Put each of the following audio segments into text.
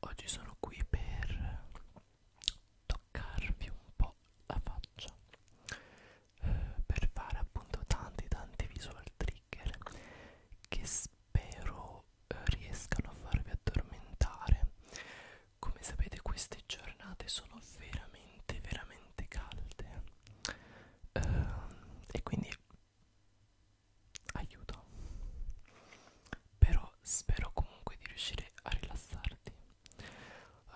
oggi sono qui per toccarvi un po' la faccia eh, per fare appunto tanti tanti visual trigger che spero eh, riescano a farvi addormentare come sapete queste giornate sono veramente veramente calde eh, e quindi aiuto però spero comunque di riuscire a rilassarti uh,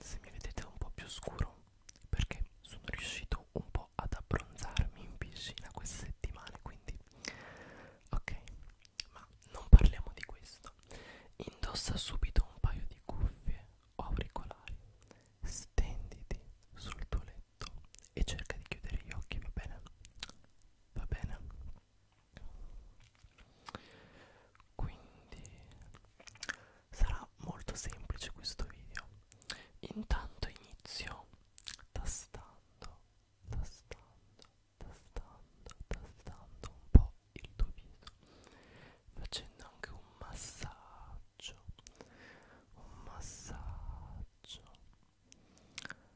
se mi vedete un po' più scuro perché sono riuscito un po' ad abbronzarmi in piscina queste settimane quindi ok ma non parliamo di questo indossa subito un paio di cuffie o auricolari stenditi sul tuo letto sotto e cerca di chiudere gli occhi, va bene? Va bene? Quindi sarà molto semplice questo video. Intanto inizio tastando, tastando, tastando, tastando un po' il tuo viso, facendo anche un massaggio, un massaggio.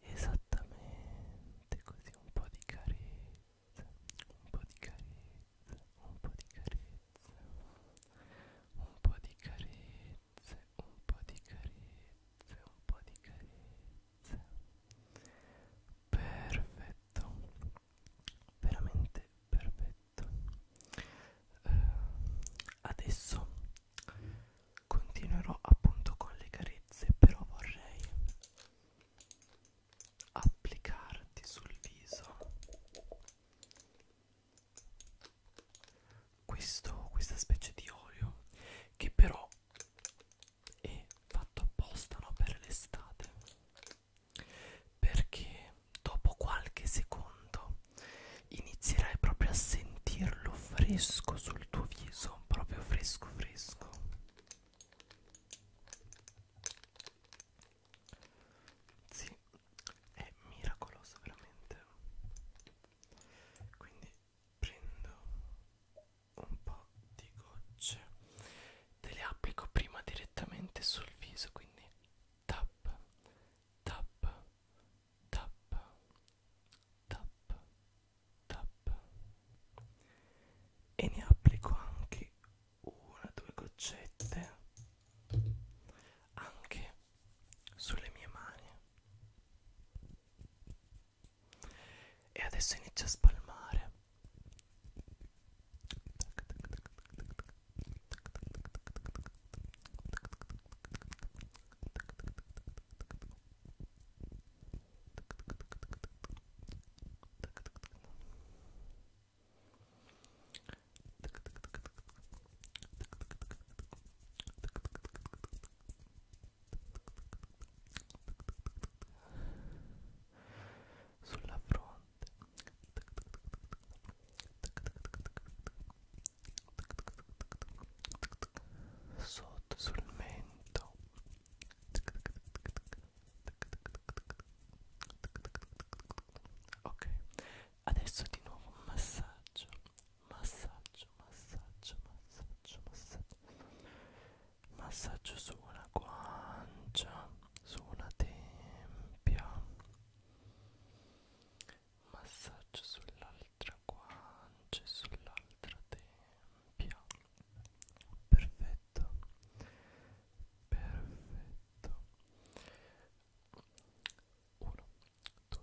esattamente così un po' di carezza un po' di carezza un po' di carezza un po' di carezze un po' di carezze un po' di carezze perfetto veramente perfetto eh, adesso continuerò appunto con le carezze però vorrei applicarti sul viso questo, questa specie di olio che però e fatto apposta no, per l'estate perché dopo qualche secondo inizierai proprio a sentirlo fresco sul tuo viso proprio fresco fresco sì è miracoloso veramente quindi prendo un po' di gocce te le applico prima direttamente sul viso quindi tap tap tap tap tap e ne applico anche una due goccette anche sulle mie mani e adesso inizio a spalmare sulla fronte sotto sul mento ok adesso di nuovo un massaggio massaggio massaggio massaggio massaggio massaggio su una guancia su una tempia massaggio sull'altra guancia sull'altra tempia perfetto perfetto 1 2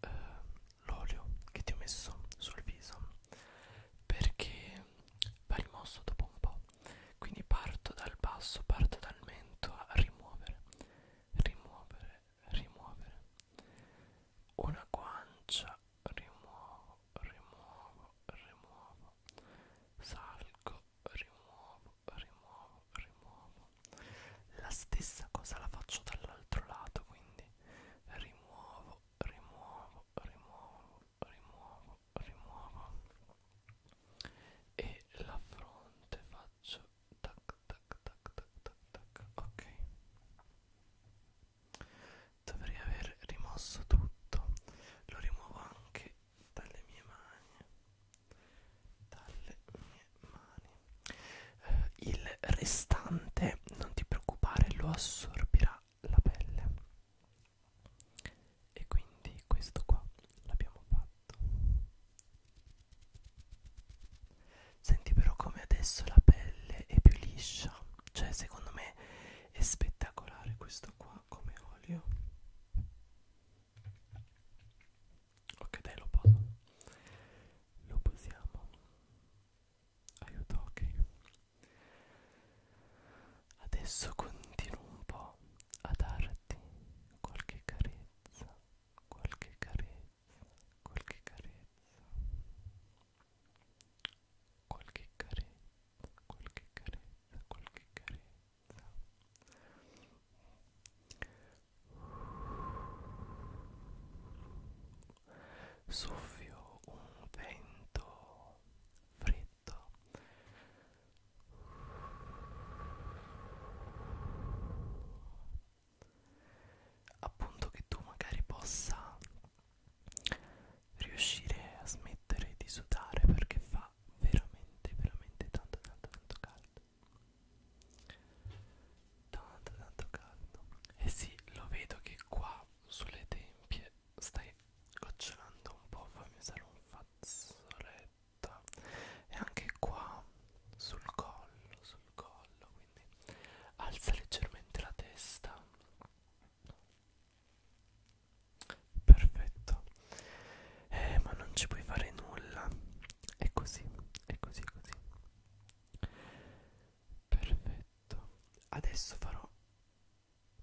eh, l'olio che ti ho messo sul viso perché va rimosso dopo un po' quindi parto dal basso parto dal mento a rimuovere rimuovere rimuovere una guancia rimuovo rimuovo rimuovo salgo rimuovo rimuovo rimuovo la stessa cosa la faccio dall'altro lato quindi rimuovo, rimuovo, rimuovo, rimuovo, rimuovo e la fronte faccio tac tac tac tac tac tac ok dovrei aver rimosso tutto lo rimuovo anche dalle mie mani dalle mie mani eh, il restante non ti preoccupare lo assorbirà la pelle e quindi questo qua l'abbiamo fatto senti però come adesso la pelle è più liscia cioè secondo me è spettacolare questo qua come olio ok dai lo poso lo posiamo aiuto ok adesso continuo un po' a darti qualche carezza qualche carezza qualche carezza qualche carezza qualche carezza qualche carezza soffio un vento freddo appunto che tu magari possa riuscire a smettere di sudare perché fa veramente veramente tanto tanto tanto caldo Tanto tanto caldo Eh sì lo vedo che qua sulle tempie stai gocciolando un po' Fammi usare un fazzoletto E anche qua sul collo sul collo quindi alza leggermente la testa Perfetto Eh ma non ci puoi fare nulla È così è così è così Perfetto Adesso farò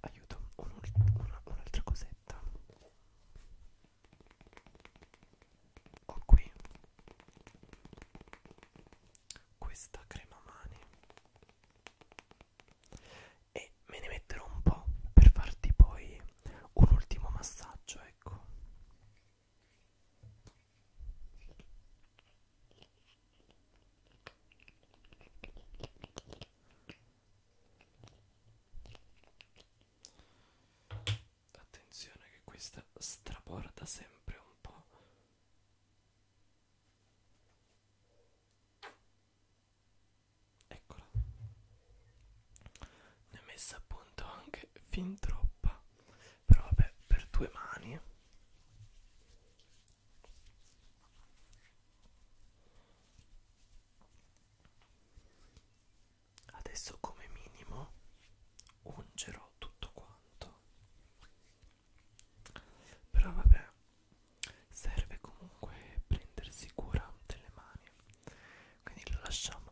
Aiuto Un'altra un un cosetta Ho qui Questa crema mani E me ne metterò un po' Per farti poi un ultimo massaggio Ecco Attenzione che questa straporta sempre un po'. Eccola ne ho messa appunto anche fin troppa però vabbè per due mani adesso come minimo ungerò tutto quanto però vabbè serve comunque prendersi cura delle mani quindi lo lasciamo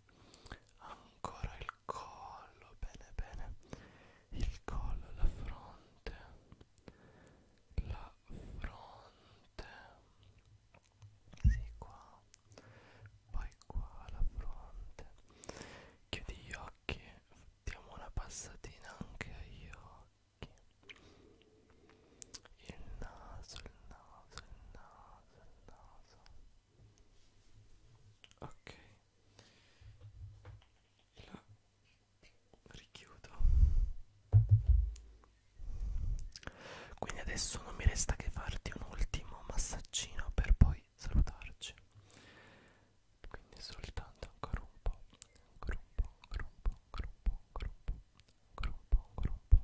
ancora il collo bene bene il collo la fronte la fronte sì qua poi qua la fronte chiudi gli occhi diamo una passatina anche agli occhi il naso il naso il naso naso, il naso. Ok. La richiudo. Quindi adesso non mi resta che farti un ultimo massaggino per poi salutarci. Quindi soltanto ancora un po', ancora un po', ancora un po', ancora un po', ancora un po', ancora un po', ancora un po'.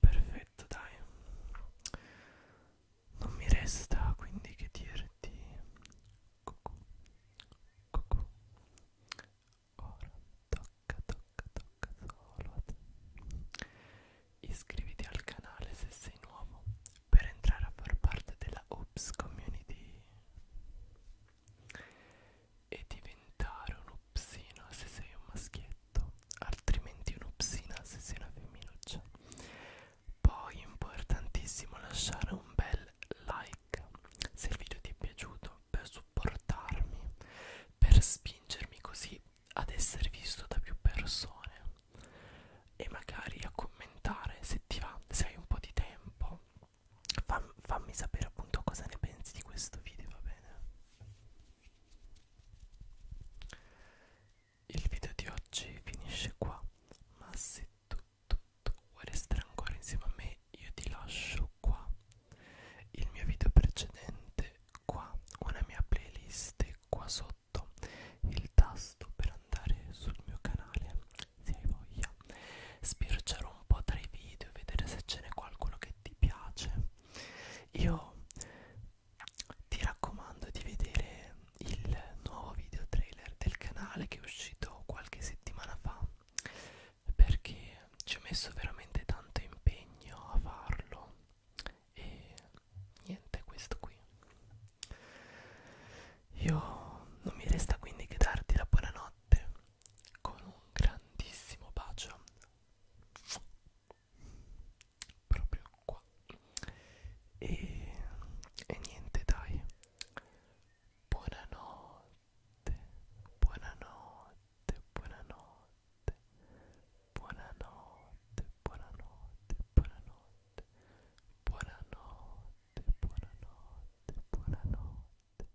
Perfetto, dai. Non mi resta quindi che dirti cucù, cucù. Ora tocca, tocca, tocca solo a te. Iscriviti al canale se sei nuovo per entrare a far parte della Ops Community e diventare un un'opsina se sei un maschietto, altrimenti un'opsina se sei una femminuccia. Poi importantissimo lasciare un bel like se il video ti è piaciuto per supportarmi, per spingermi così ad essere visto da più persone e magari a commentare se ti va, se hai un po' di tempo. Fam fammi sapere appunto cosa ne pensi di questo video, va bene? Il video di oggi finisce qua, ma se tu, tu, tu vuoi restare ancora insieme a me io ti lascio qua il mio video precedente, qua una mia playlist qua sotto il tasto per andare sul mio canale se hai voglia spircerò un po' tra i video vedere se ce n'è qualcuno che ti piace io ti raccomando di vedere il nuovo video trailer del canale che è uscito qualche settimana fa perché ci ho messo veramente tanto impegno a farlo e niente questo qui io non mi resta quindi che darti la buonanotte con un grandissimo bacio proprio qua e, e niente dai buonanotte buonanotte buonanotte buonanotte buonanotte buonanotte buonanotte buonanotte buonanotte buonanotte